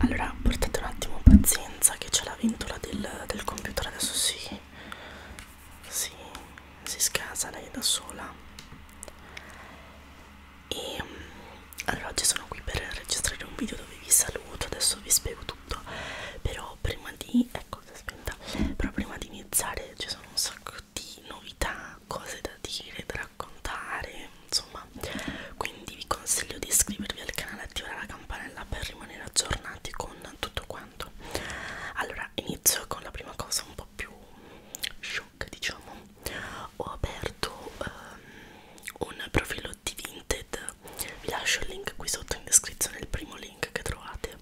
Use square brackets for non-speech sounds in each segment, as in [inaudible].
allora portate un attimo pazienza che c'è la ventola del, del computer adesso si, si, si scasa lei da sola e allora oggi sono qui per registrare un video dove vi saluto adesso vi spiego tutto però prima di ecco eh, si è spenta però prima di iniziare ci sono un sacco di novità cose da dire da raccontare insomma qua quindi vi consiglio di iscrivervi al canale e attivare la campanella per rimanere aggiornati con tutto quanto allora inizio con la prima cosa un po' più shock diciamo ho aperto um, un profilo di Vinted vi lascio il link qui sotto in descrizione il primo link che trovate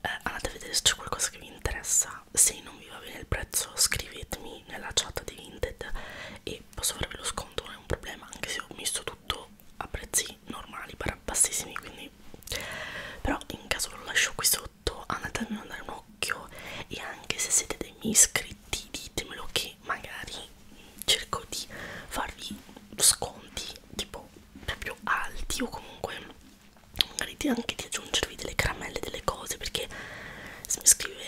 eh, andate a vedere se c'è qualcosa che vi interessa se non vi va bene il prezzo scrivetemi nella chat di Vinted e posso farvi lo sconto non è un problema anche se ho messo tutto tutto a prezzi normali per bassissimi quindi però in caso ve lo lascio qui sotto andatemi a dare un occhio e anche se siete dei miei iscritti ditemelo che magari cerco di farvi sconti tipo proprio alti o comunque magari anche di aggiungervi delle caramelle delle cose perché se mi scrive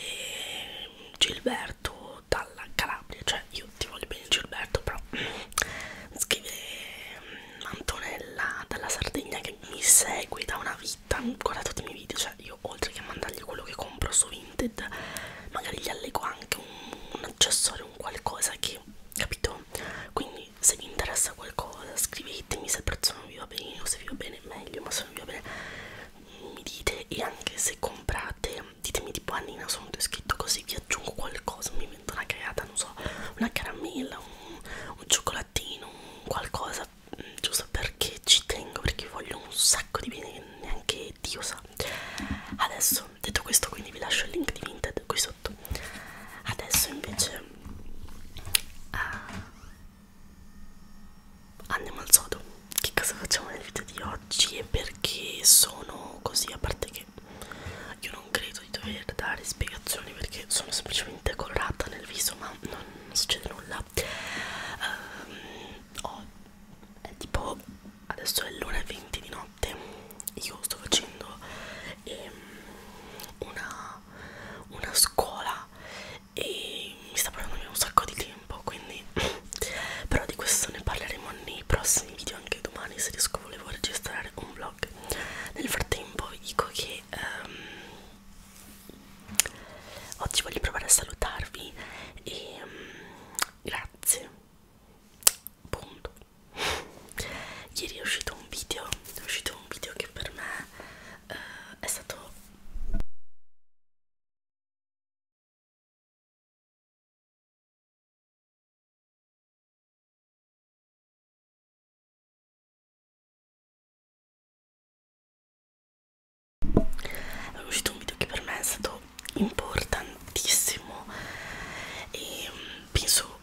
Gilberto dalla Calabria, cioè io ti voglio bene Gilberto, però mi scrive mm, Antonella dalla Sardegna che mi segue da una vita, guarda tutti i miei video, cioè io oltre che a mandargli quello che compro su Vinted, magari gli allego anche un, un accessorio, un qualcosa che, capito? Quindi se vi interessa qualcosa scrivetemi, se il prezzo non vi va bene, se vi va bene meglio, ma se non vi va bene mi dite e anche se comprate ditemi tipo Annina sono descritto così vi aggiungo qualcosa mi invento una creata non so una caramella un, un cioccolatino un qualcosa mm, giusto perché ci tengo perché voglio un sacco di bene neanche Dio sa adesso detto questo quindi vi lascio il link di Vinted qui sotto adesso invece uh, andiamo al sodo che cosa facciamo nel video di oggi e perché sono così a parte che io non credo di dover dare spiegazioni perché sono semplicemente colorata nel viso ma non, non succede nulla um, oh, è tipo adesso è l'1.20 di notte io sto facendo ehm, una, una scuola e ormai mi sta prendendo via un sacco di tempo quindi [clears throat] però di questo ne parleremo nei prossimi video anche domani se riesco volevo registrare un vlog nel frattempo vi dico che um, oggi voglio provare a salutarvi e um, grazie punto [laughs] ieri è uscito un video è uscito un video che per me uh, è stato è uscito un video che per me è stato importantissimo e mm, penso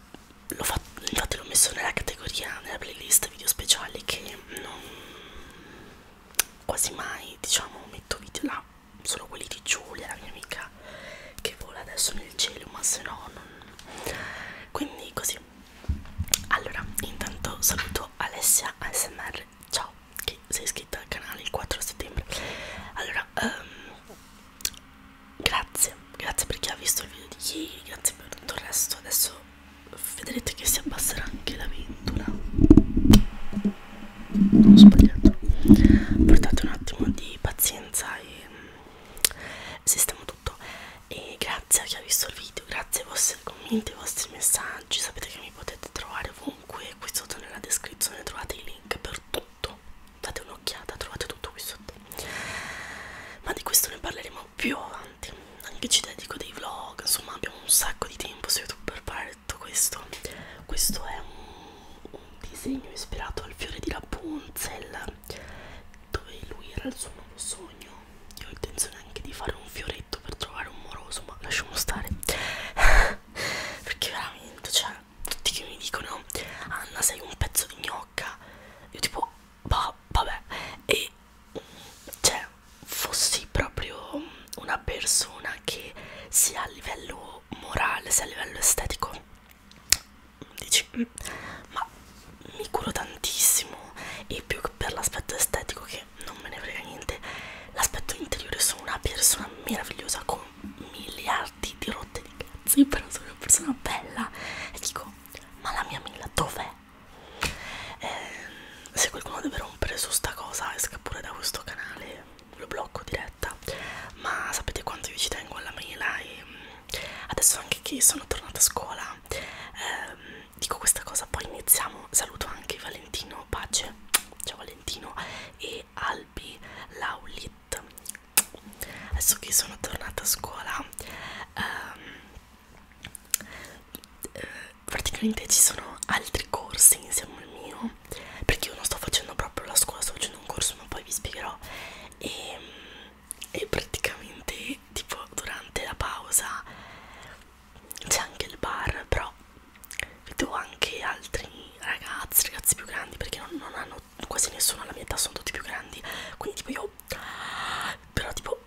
l'ho fatto infatti l'ho messo nella categoria nella playlist video speciali che non quasi mai diciamo metto video là solo quelli di Giulia la mia amica che vola adesso nel cielo ma se no non quindi così allora intanto saluto Alessia ASMR ciao che sei iscritta al canale il 4 settembre allora um, grazie grazie per chi ha visto il video di ieri grazie per tutto il resto adesso vedrete che si abbasserà anche la ventola non ho sbagliato portate un attimo di pazienza e mm, sistemo tutto e grazie a chi ha visto il video grazie ai vostri commenti ai vostri messaggi sapete che mi potete trovare ovunque qui sotto nella descrizione trovate i link per tutto date un'occhiata trovate tutto qui sotto ma di questo ne parleremo più avanti anche ci dedico dei vlog insomma abbiamo un sacco di tempo su youtube per parlare art questo questo è un, un disegno ispirato al fiore di Rapunzel dove lui era il suo nuovo sogno io ho intenzione anche di fare un fioretto per trovare un moroso ma lasciamo stare [laughs] perché veramente cioè tutti che mi dicono Anna sei un pezzo di gnocca io tipo bah, vabbè e cioè fossi proprio una persona che sia a livello morale sia a livello estetico dici mm, ma mi curo tantissimo e più che per l'aspetto estetico che non me ne frega niente l'aspetto interiore sono una persona meravigliosa con miliardi di rotte di cazzi però sono una persona bella e dico ma la mia mela dov'è? eh, se qualcuno deve rompere su sta cosa esca pure da questo canale lo blocco diretta ma sapete quanto io ci tengo alla mail ah, e ehm, adesso anche che sono tornata a scuola eh, dico questa cosa poi iniziamo saluto anche Valentino Pace ciao Valentino e Albi Laulit adesso che sono tornata a scuola ehm, eh, praticamente ci sono altri corsi insieme al mio perché io non sto facendo proprio la scuola sto facendo un corso ma poi vi spiegherò e, e praticamente tipo durante la pausa c'è anche il bar però vedo anche altri ragazzi ragazzi più grandi perché non, non hanno quasi nessuno alla mia età sono tutti più grandi quindi tipo io però tipo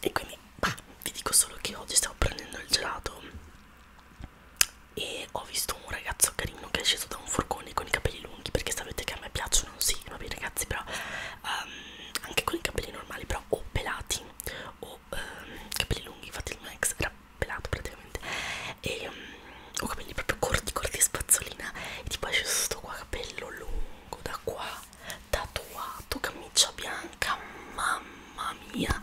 e quindi bah, vi dico solo che oggi stavo prendendo il gelato e ho visto un ragazzo carino che è sceso da un furgone con i capelli lunghi perché sapete che a me piacciono sì vabbè ragazzi però um, anche con i capelli normali però o pelati o um, capelli lunghi infatti il max era pelato praticamente e um, ho capelli proprio corti corti spazzolina e tipo è sceso sto qua capello lungo da qua tatuato, camicia bianca, mamma mia,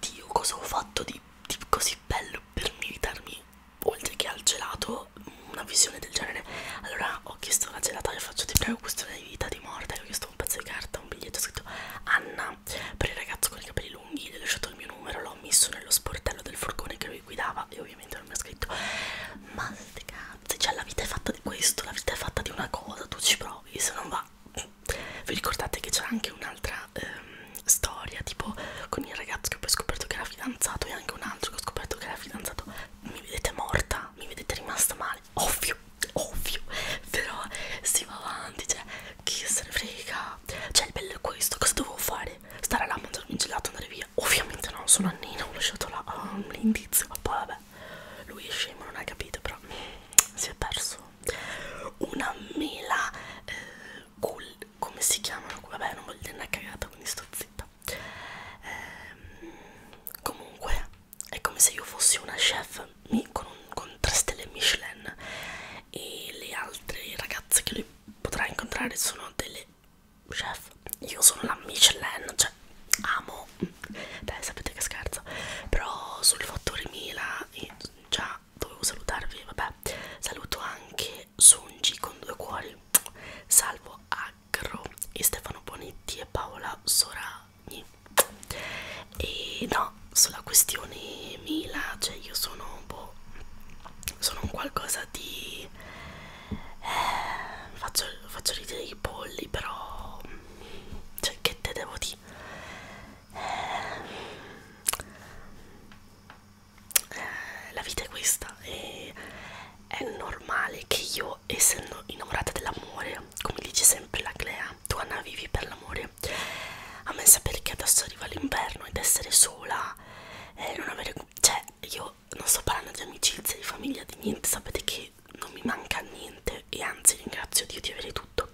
Dio cosa ho fatto di, di così bello per meritarmi, oltre che al gelato, una visione del genere. Allora ho chiesto alla gelataria, faccio ti prego questione di vita, di morte, ho chiesto un pezzo di carta, un biglietto scritto Anna, per il ragazzo con i capelli lunghi, gli ho lasciato il mio numero, l'ho messo nello sportello del furgone che lui guidava e ovviamente non mi ha scritto, mastica ragazzi, cioè la vita è fatta di questo, la vita è fatta di una cosa, tu ci provi, se non va. Vi ricordate che c'era anche un'altra ehm, storia, tipo con il ragazzo che ho poi scoperto che era fidanzato e anche un altro che ho scoperto che era fidanzato. Mi vedete morta, mi vedete rimasta male, ovvio, ovvio, però si va avanti, cioè chi se ne frega. Cioè il bello è questo, cosa dovevo fare? Stare là a mangiarmi un gelato e andare via? Ovviamente no, sono Annina, ho lasciato là oh, ah, l'indizio, poi vabbè lui è scemo, non ha capito, però si è perso una mela eh, cool, come si chiamano? Vabbè, non voglio dire una cagata, quindi sto zitta. Eh, comunque, è come se io fossi una chef con, un, con 3 stelle Michelin e le altre ragazze che lui potrà incontrare sono delle chef io sono la Michelin, cioè amo, dai sapete che scherzo, però sul fattore Mila già dovevo salutarvi, vabbè, saluto anche Sungi con due cuori, salvo Agro e Stefano Bonetti e Paola Soragni e no, sulla questione Mila, cioè io sono un po', sono un qualcosa di eh, faccio, faccio ridere i polli però cioè, che te devo dire eh, eh, la vita è questa e è normale che io essendo innamorata dell'amore come dice sempre la Clea tu Anna vivi per l'amore a me sapere che adesso arriva l'inverno ed essere sola eh, non avere cioè io non sto parlando di amicizia, di famiglia, di niente, sapete che non mi manca niente e anzi ringrazio Dio di avere tutto.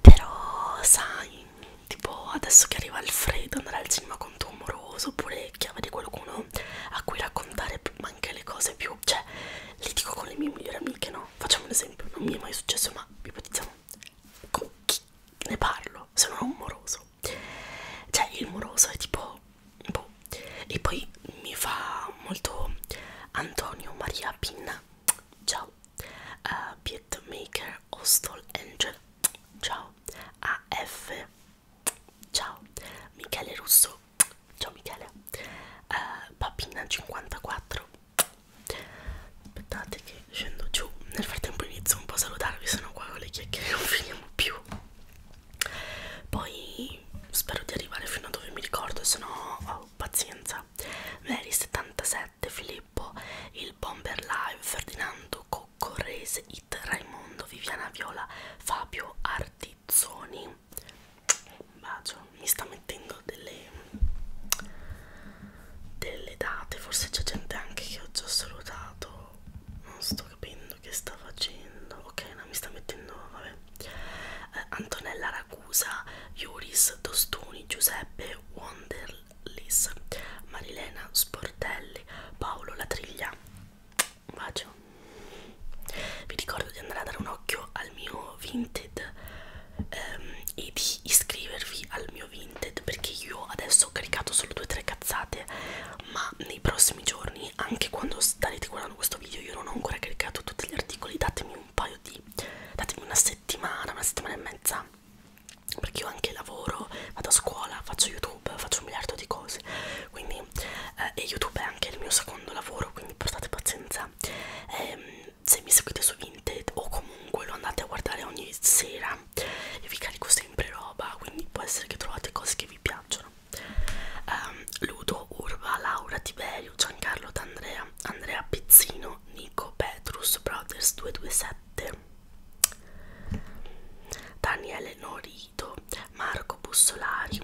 Però sai, tipo adesso che arriva il freddo andare al cinema con tuo amoroso oppure che avere qualcuno a cui raccontare anche le cose più, cioè le dico con le mie migliori amiche, no? Facciamo un esempio, non mi è mai successo ma ipotizziamo con chi ne parlo se non ho un moroso. Cioè il moroso è tipo boh. e poi mi fa molto Antonio Maria Pinna ciao uh, Beatmaker Hostel Angel ciao AF ciao Michele Russo ciao Michele uh, Papina 54 aspettate che scendo giù nel frattempo inizio un po' a salutarvi sono qua con le chiacchiere non finiamo più poi spero di arrivare fino a dove mi ricordo, se no oh, pazienza. Veri 77, Filippo, il Bomber Live, Ferdinando Coccorrese, It Raimondo, Viviana Viola, Fabio Artizzoni. Un bacio, mi sta mettendo delle, delle date, forse c'è gente anche che ho già salutato, non sto capendo facendo? Che sta facendo? Ok, no, mi sta mettendo, vabbè. Eh, Antonella Ragusa, Iuris Tostoni, Giuseppe Wonderlis, Marilena Sportelli, Paolo Latriglia. Un bacio. Vi ricordo di andare a dare un occhio al mio Vinted ehm, e di iscrivervi al mio Vinted perché io adesso ho caricato solo due o tre cazzate, ma nei prossimi giorni anni, anche quando starete guardando questo video io non ho ancora caricato tutti gli articoli, datemi un paio di... datemi una settimana, una settimana e mezza, perché io anche lavoro, vado a scuola, faccio YouTube, faccio un miliardo di cose, quindi... Eh, e YouTube è anche il mio secondo lavoro, quindi portate pazienza. Eh, se mi seguite su Vinted o comunque lo andate a guardare ogni sera, io vi carico sempre roba, quindi può essere che trovate cose che vi piacciono um, Ludo, Urba, Laura, Tiberio, Giancarlo D'Andrea, Andrea Pizzino, Nico, Petrus, Brothers 227, Daniele Norito, Marco Bussolari.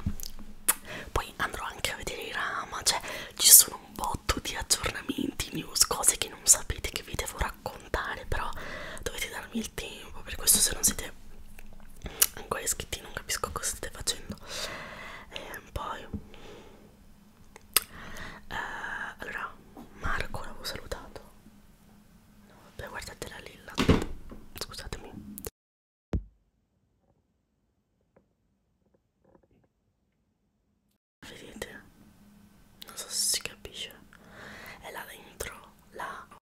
Poi andrò anche a vedere i Rama, cioè ci sono un botto di aggiornamenti, news, cose che non sapete che vi devo raccontare raccontare però dovete darmi il tempo per questo se non siete ancora iscritti non capisco cosa state facendo e ehm, poi eh, allora Marco l'avevo salutato no, vabbè guardate la lilla scusatemi Vedete? Non so se si capisce. È là dentro, là, però è tipo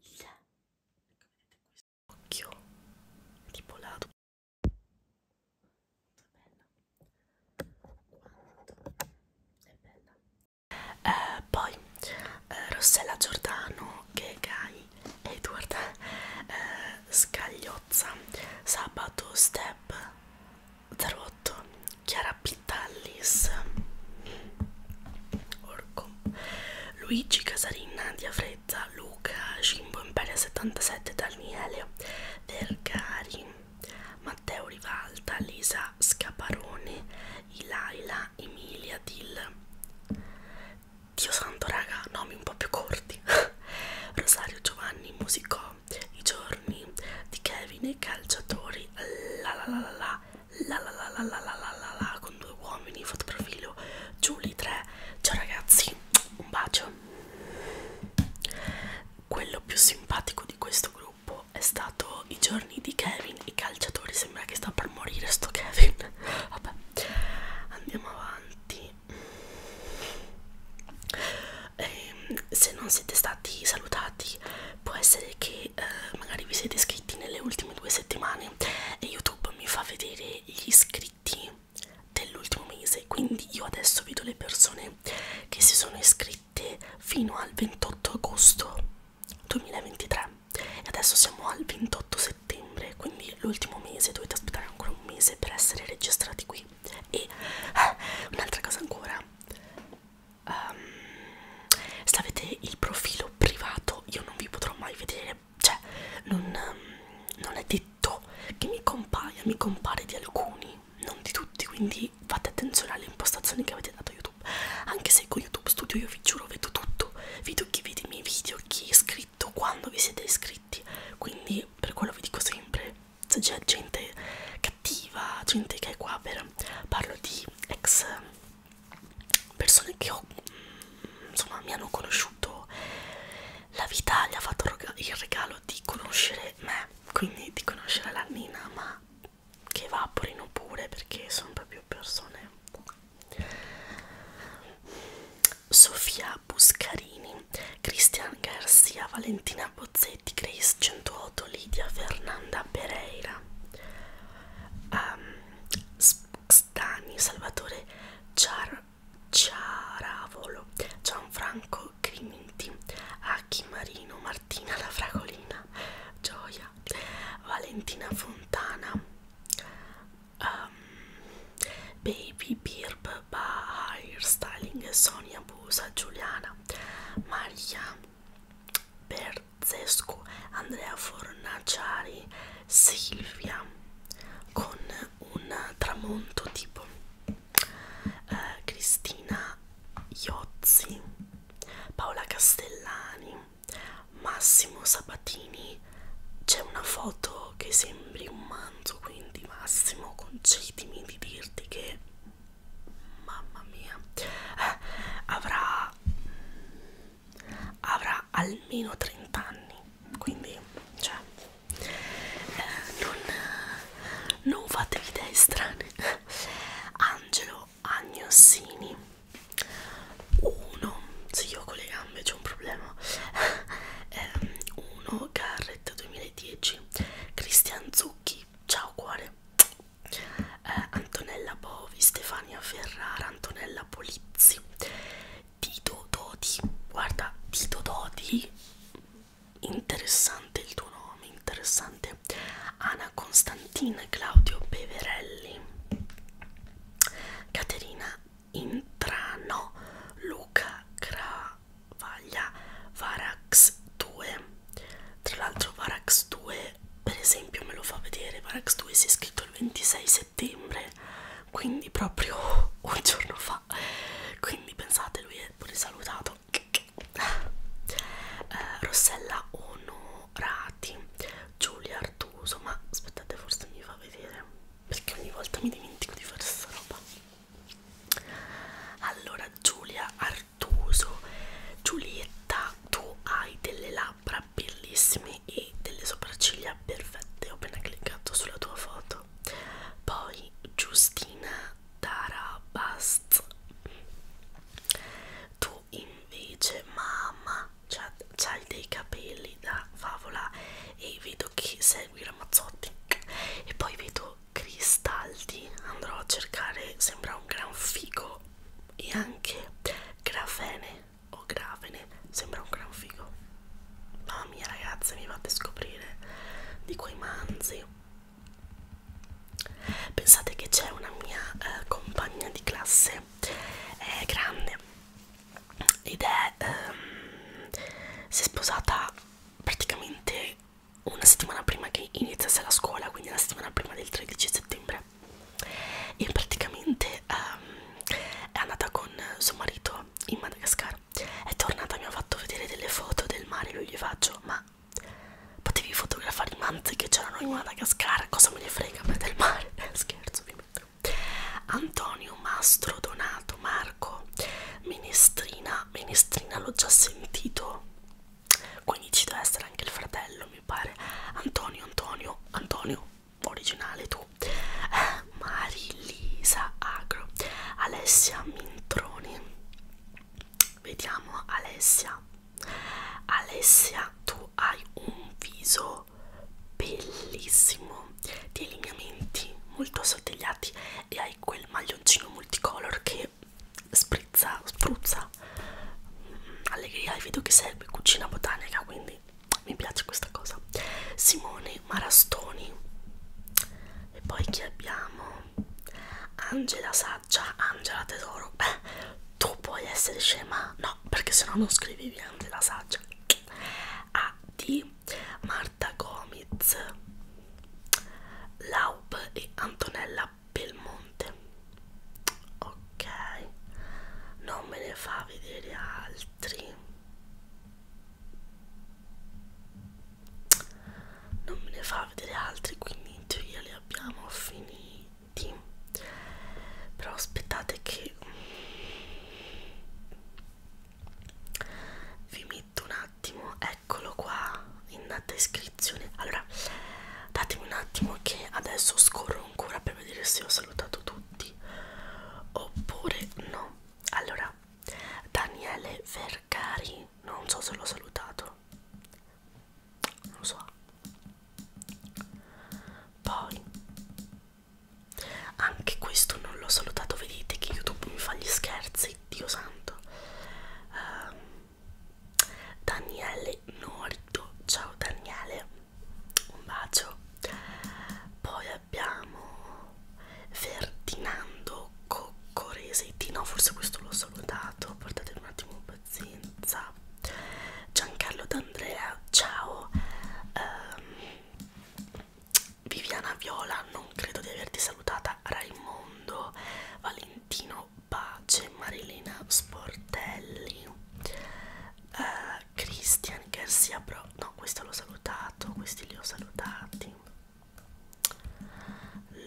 il yeah. occhio è tipo lato è bella è bella eh, poi eh, Rossella Giordano che Gai Edward eh, Scagliozza Sabato Step 08 Chiara Pittallis Orco Luigi Casarin Nadia Frezza Luca Cimbo Imperia 77 Daniele Vergari Matteo Rivalta Lisa Scaparone Ilaila Emilia Dill Dio santo raga nomi un po' più corti [laughs] Rosario Giovanni Musicò i giorni di Kevin e calciatori la la la la la la la la la la la la la con due uomini fotoprofilo Giulia 3 ciao ragazzi un bacio quello più simpatico di questo gruppo è stato i giorni di Kevin i calciatori sembra che sta per morire sto Kevin vabbè andiamo avanti eh, se non siete stati salutati può essere che eh, magari vi siete iscritti nelle ultime due settimane e YouTube mi fa vedere gli iscritti dell'ultimo mese quindi io adesso vedo le persone che si sono iscritte fino al 28 agosto 2023 e adesso siamo al 28 settembre quindi l'ultimo mese dovete aspettare ancora un mese per essere registrati qui e eh, un'altra cosa ancora um, se avete il profilo privato io non vi potrò mai vedere cioè non, um, non è detto che mi compaia mi compare di alcuni non di tutti quindi fate attenzione alle impostazioni che avete dato a youtube anche se con youtube studio io vi giuro vedo tutto vedo chi vede i miei video chi è iscritto quando vi siete iscritti quindi per quello vi dico sempre c'è gente cattiva, gente che è qua per parlo di ex persone che ho, insomma mi hanno conosciuto la vita gli ha fatto il regalo di conoscere me quindi di conoscere la Nina ma che evaporino pure perché sono proprio persone Sofia Buscarini Cristian Garcia Valentina Bozzetti, Grace 108, Lidia, Fernanda Pereira, um, ehm, Stani, Salvatore Ciar Ciaravolo, Gianfranco Criminti, Aki Marino, Martina La Fragolina, Gioia, Valentina Fontana, um, Baby Mary Birb, Bahir Styling, Sonia Busa, Giuliana, Maria Berzescu, Andrea Fornaciari, Silvia con un tramonto tipo eh, Cristina Iozzi, Paola Castellani, Massimo Sabatini. C'è una foto voglio che sembri un manzo, quindi Massimo concedimi di dirti che, mamma mia, eh, avrà, avrà almeno 30 anni, quindi, cioè, eh, non, non fatevi idee strane. Angelo Agnossini 1 se io con le gambe c'è un problema 1 [laughs] ehm, Garrett 2000 delle 10 Cristian Zucchi ciao cuore eh, Antonella Bovi Stefania Ferrara Antonella Polizzi Tito Dodi guarda Tito Dodi interessante il tuo nome interessante Anna Constantina Claudio Beverelli Caterina Intrano Luca Cra la vaglia Varax 2 tra l'altro Varax 2 per esempio me lo fa vedere Varax 2 si è scritto il 26 settembre quindi proprio [laughs] un giorno fa quindi pensate lui è pure salutato eh, Rossella Onorati Giulia Artuso ma aspettate forse mi fa vedere perché ogni volta mi dimentico di fare sta roba allora Giulia Artuso, Giulietta, tu hai delle labbra bellissime e delle sopracciglia perfette. Ho appena cliccato sulla tua foto. Poi Giustina Tarabast, tu invece, mamma, c'hai dei capelli da favola e vedo che sei seguire a Mazzotti e poi vedo Cristaldi andrò a cercare sembra un gran figo e anche Grafene o Gravene sembra un gran figo mamma mia ragazze mi fate scoprire di quei manzi pensate che c'è una mia eh, compagna di classe è grande ed è um, si è sposata praticamente una settimana prima che iniziasse la scuola quindi la settimana prima del 13 settembre e praticamente um, è andata con suo marito in Madagascar è tornata mi ha fatto vedere delle foto del mare io gli faccio ma potevi fotografare i manzi che c'erano in Madagascar cosa me ne frega per del mare [laughs] scherzo ovviamente Antonio Mastro Donato Mario Marco Menestrina Menestrina l'ho già sentito quindi ci deve essere anche il fratello mi pare Antonio Antonio Antonio originale tu eh, Marilisa Agro Alessia Mintroni vediamo Alessia Alessia tu hai un viso bellissimo di lineamenti molto sottigliati e hai quel maglioncino multicolor che sprizza, spruzza allegria e vedo che serve cucina botanica quindi mi piace questa cosa Simone Marastoni e poi chi abbiamo? Angela Saggia Angela Tesoro eh, tu puoi essere scema? no perché se no non scrivevi Angela Saggia A di Marta Gomez, Laub e Antonella Belmonte. Ok, non me ne fa vedere altri. Non me ne fa vedere altri, quindi in teoria li abbiamo finiti. Però aspettate che vi metto un attimo eccolo qua in descrizione allora datemi un attimo che adesso scorro ancora per vedere se ho salutato tutti oppure no allora Daniele Vergari non so se l'ho salutato non lo so poi anche questo non l'ho salutato, vedete che YouTube mi fa gli scherzi, Dio santo. Uh, Daniele Norito, ciao Daniele, un bacio. Poi abbiamo Ferdinando Coccoresetti, no forse questo l'ho salutato, portate un attimo pazienza. Giancarlo D'Andrea, ciao. Um, Viviana Viola, non credo di averti salutata, Raimondo, Valentino Pace, Marilena Sportelli, uh, Christian Garcia Bro, no questo l'ho salutato, questi li ho salutati,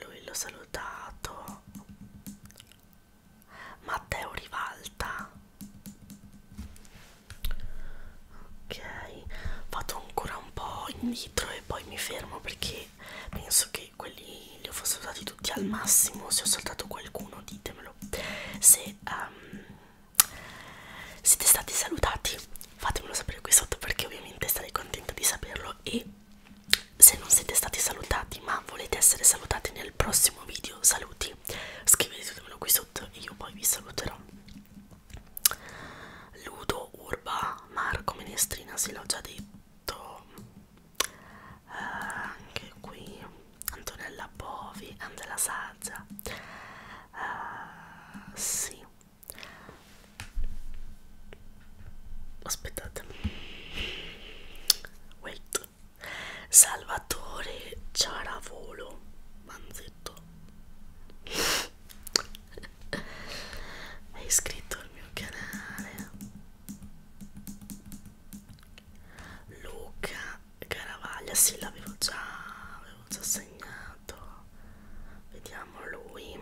lui l'ho salutato, Matteo Rivalta, ok vado ancora un po' indietro e poi mi fermo perché penso che quelli li ho saltati tutti al massimo se ho saltato qualcuno ditemelo se um, siete stati salutati fatemelo sapere qui sotto perché ovviamente sarei contenta di saperlo e se non siete stati salutati ma volete essere salutati nel prossimo video saluti scrivetemelo qui sotto e io poi vi saluterò Ludo, Urba, Marco, Menestrina, sì l'ho già detto eh, anche qui Antonella Bovi, Andrea Saggia eh, sì aspettate wait Salvatore Ciaravolo anzi detto è iscritto al mio canale Luca Caravaglia sì l'avevo già avevo già segnato vediamo lui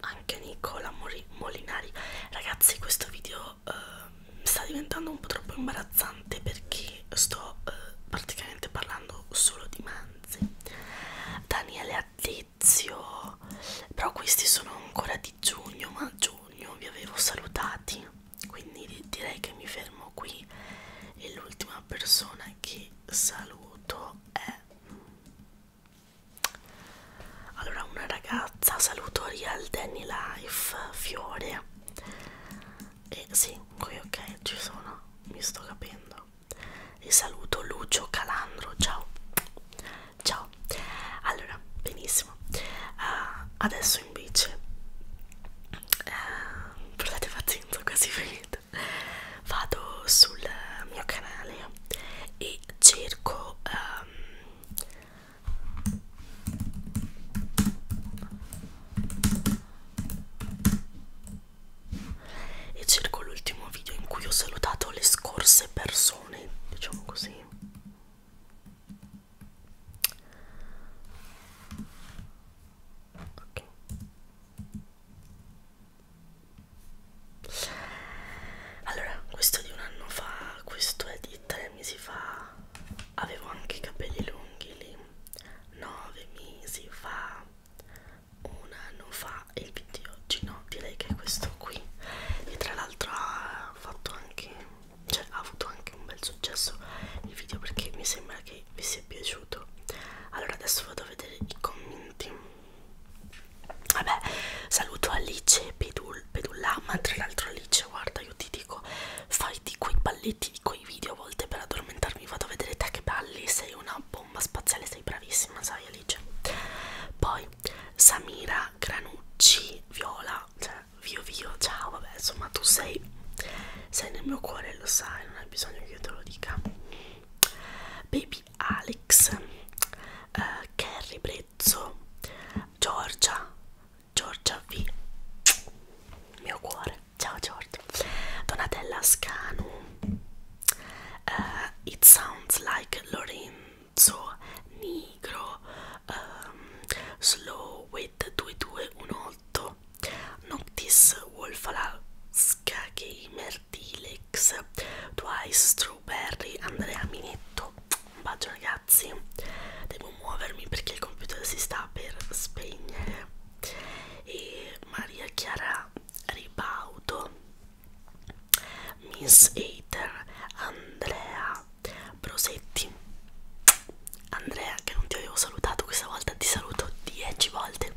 anche Nicola Molinari ragazzi questo video video eh, sta diventando un po' troppo imbarazzante perché sto eh, praticamente parlando solo di manzi. Daniele Attizio, però questi sono ancora di giugno, ma a giugno vi avevo salutati, quindi direi che mi fermo qui e l'ultima persona che saluto è allora una ragazza saluto Real Danny Life Fiore e sì, qui ok, ci sono, mi sto capendo. E saluto Lucio Calandro, ciao. Ciao. Allora, benissimo. Uh, adesso invece uh, portate pazienza, quasi finito. Vado sul mio canale e cerco um, e cerco l'ultimo video in cui ho salutato le scorse persone diciamo così ok allora questo è di un anno fa questo è di tre mesi fa avevo anche i capelli lunghi lì nove mesi fa un anno fa e il video di oggi no direi che è questo qui e tra l'altro ha fatto anche cioè ha avuto anche un bel successo il video perché mi sembra che vi sia piaciuto allora adesso vado a vedere i commenti vabbè saluto Alice Pedulla ma tra l'altro Alice guarda guarda io ti dico fai di quei balletti, di quei video a volte per addormentarmi vado a vedere te che balli, sei una bomba spaziale, sei bravissima sai Alice poi Samira Granucci Viola, cioè Vio Vio, ciao vabbè insomma tu sei, sei nel mio cuore lo sai, non hai bisogno che io te lo dica Baby Alex, uh, Carrie Brezzo, Giorgia, Giorgia V mio cuore ciao Giorgia Donatella Scanu uh, It sounds like Lorenzo Nigro um, Slow with 2218 Noctis Wolfalasca Gamer Dilex Twice Strawberry Andrea Minetto un bacio ragazzi ragazzi devo muovermi perché il computer si sta per spegnere e Maria Chiara Ribaudo Miss Hater Andrea Prosetti Andrea che non ti avevo salutato questa volta ti saluto 10 volte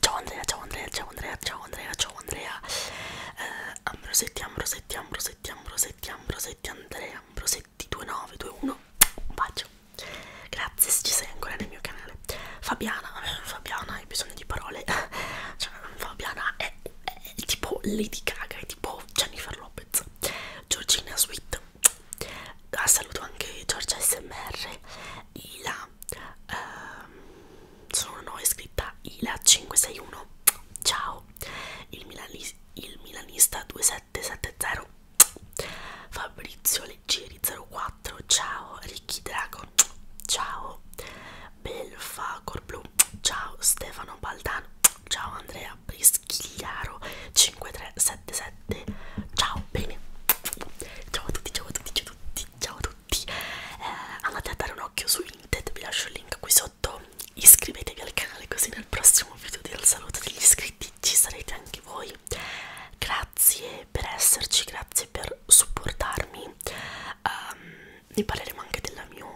ciao Andrea ciao Andrea ciao Andrea ciao Andrea ciao Andrea eh, Ambrosetti Ambrosetti Ambrosetti Ambrosetti Ambrosetti, Ambrosetti Andrea, Ambrosetti 2921, un bacio. Grazie se ci sei ancora nel mio canale. Fabiana, eh, Fabiana, hai bisogno di parole. [laughs] Cioè, Fabiana è, è, è tipo Lady Gaga, è tipo Jennifer Lopez. Georgina Sweet. Ah, saluto anche Giorgia SMR, Ila. Ehm, sono una nuova iscritta, Ila561. Ciao. Il Milanese il milanista 2770 Fabrizio Leggeri 04 ciao Ricky Dragon ciao Belfa Corblu ciao Stefano Baldano ciao Andrea Prischigliaro 5377 ciao bene ciao a tutti ciao a tutti ciao a tutti ciao a tutti eh, andate a dare un occhio su Vinted vi lascio il link qui sotto sotto iscrivetevi al canale così nel prossimo video del saluto degli iscritti ci sarete anche voi grazie per esserci grazie per supportarmi um, ne parleremo anche del mio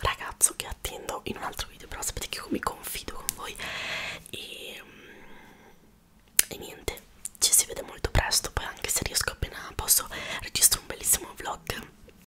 ragazzo che attendo in un altro video però sapete che io mi confido con voi e, ehm, e niente ci si vede molto presto poi anche se riesco appena posso registro un bellissimo vlog